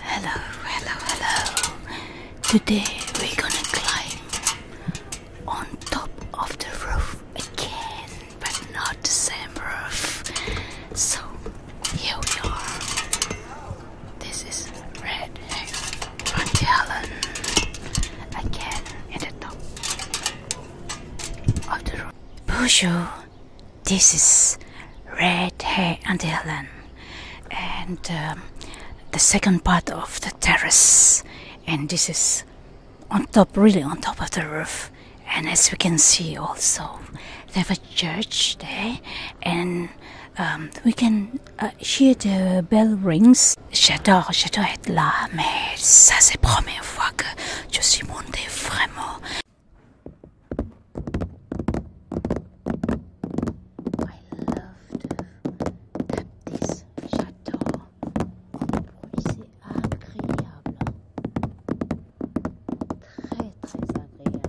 Hello, hello, hello. Today we're gonna climb on top of the roof again, but not the same roof. So here we are. This is Red Red Helen again at the top of the roof. Bonjour, this is Red hair and Helen, and um, the second part of the terrace. And this is on top, really on top of the roof. And as we can see, also they have a church there, and um, we can uh, hear the bell rings. J'adore, j'adore être là, mais ça c'est première fois que je suis montée vraiment. love J'adore. c'est agréable. Très, très agréable.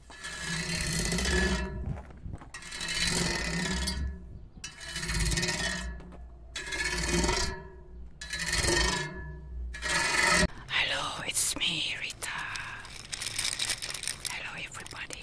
Hello, it's me, Rita. Hello, everybody.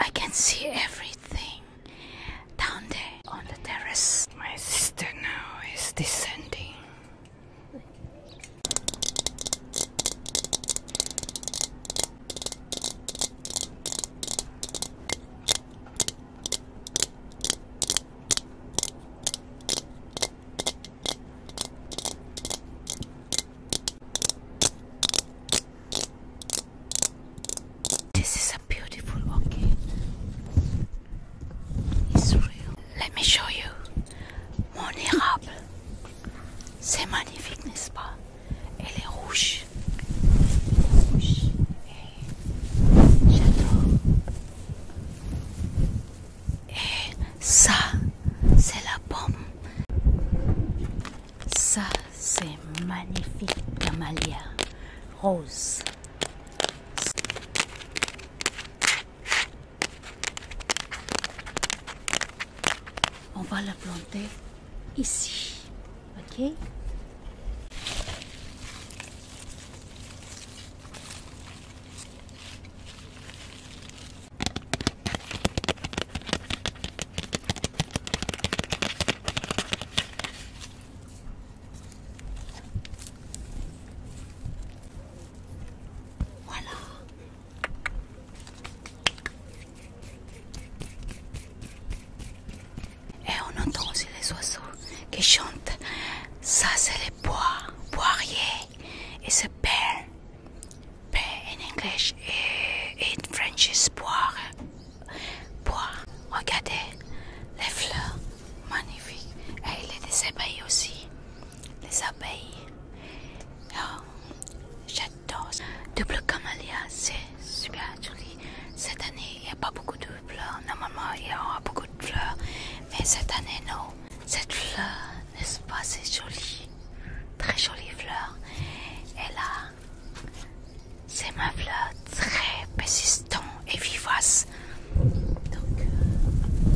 I can see everything down there on the terrace. My sister now is descending. This is a beautiful orchid. It's real. Let me show you. Mon érable. C'est magnifique, n'est-ce Elle est rouge. rouge. Et j'adore. Et ça, c'est la pomme. Ça, c'est magnifique malia rose. On va la planter ici. Ok Voilà, et on entend aussi les oiseaux qui chantent. Ça, c'est les bois, poirier. Et c'est pear. Pear en anglais et en français poire, bois. Regardez les fleurs. Magnifique. Et il abeilles aussi. Les abeilles. Ah, Double camélia c'est super joli. Cette année, il n'y a pas beaucoup de fleurs. Normalement, il y aura beaucoup de fleurs. Mais cette année, non. Cette fleur, n'est-ce pas, c'est jolie Très jolie fleur. Et là, c'est ma fleur très persistante et vivace. Donc, euh,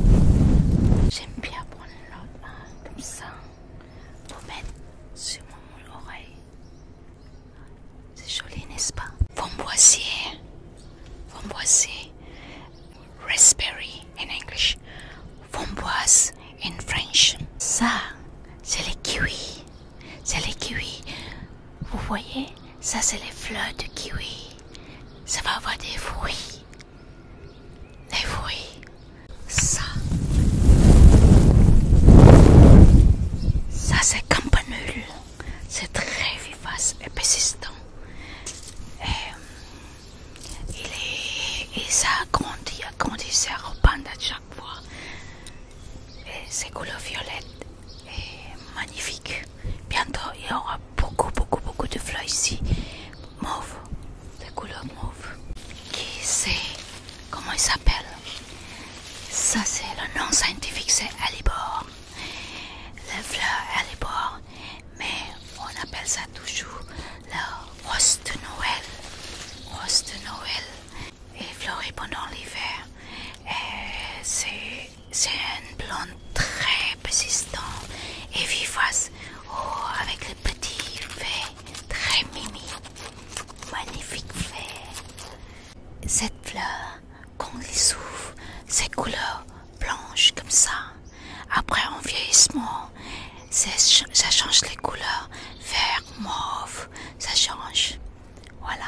j'aime bien prendre l'autre comme ça. Vous mettez sur mon oreille. C'est joli, n'est-ce pas Pomboisier Raspberry in English. Framboise in French. Ça, c'est les kiwis. C'est les kiwis. Vous voyez Ça, c'est les fleurs de kiwi. Ça va avoir des fruits. Les oui Ça. Ça c'est campanule. C'est très vivace et persistant. Et, euh, il, est, et ça grandit, se à chaque fois. Et ses couleurs violettes est magnifique. Bientôt il y aura beaucoup, beaucoup, beaucoup de fleurs ici mauve, de couleur mauve. Qui c'est Comment il s'appelle Ça, c'est le nom scientifique, c'est Alibor. La fleur Alibor, mais on appelle ça toujours la rose de Noël. Rose de Noël et fleurie pendant l'hiver. C'est une plante très persistante et vivace, oh, avec les petits verts très mimi, magnifique Cette fleur, quand il les ses couleurs blanches comme ça. Après en vieillissement, ça change les couleurs vert, mauve, ça change. Voilà.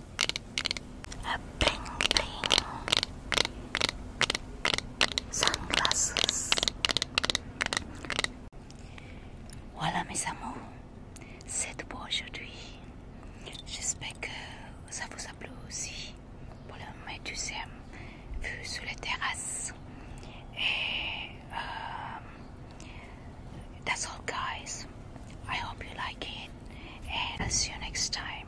A Sunglasses. Voilà mes amours, c'est tout aujourd'hui. J'espère que ça vous a plu aussi pour le médusème vue sur les terrasses. Et euh, that's all guys. I hope you like it and I'll see you next time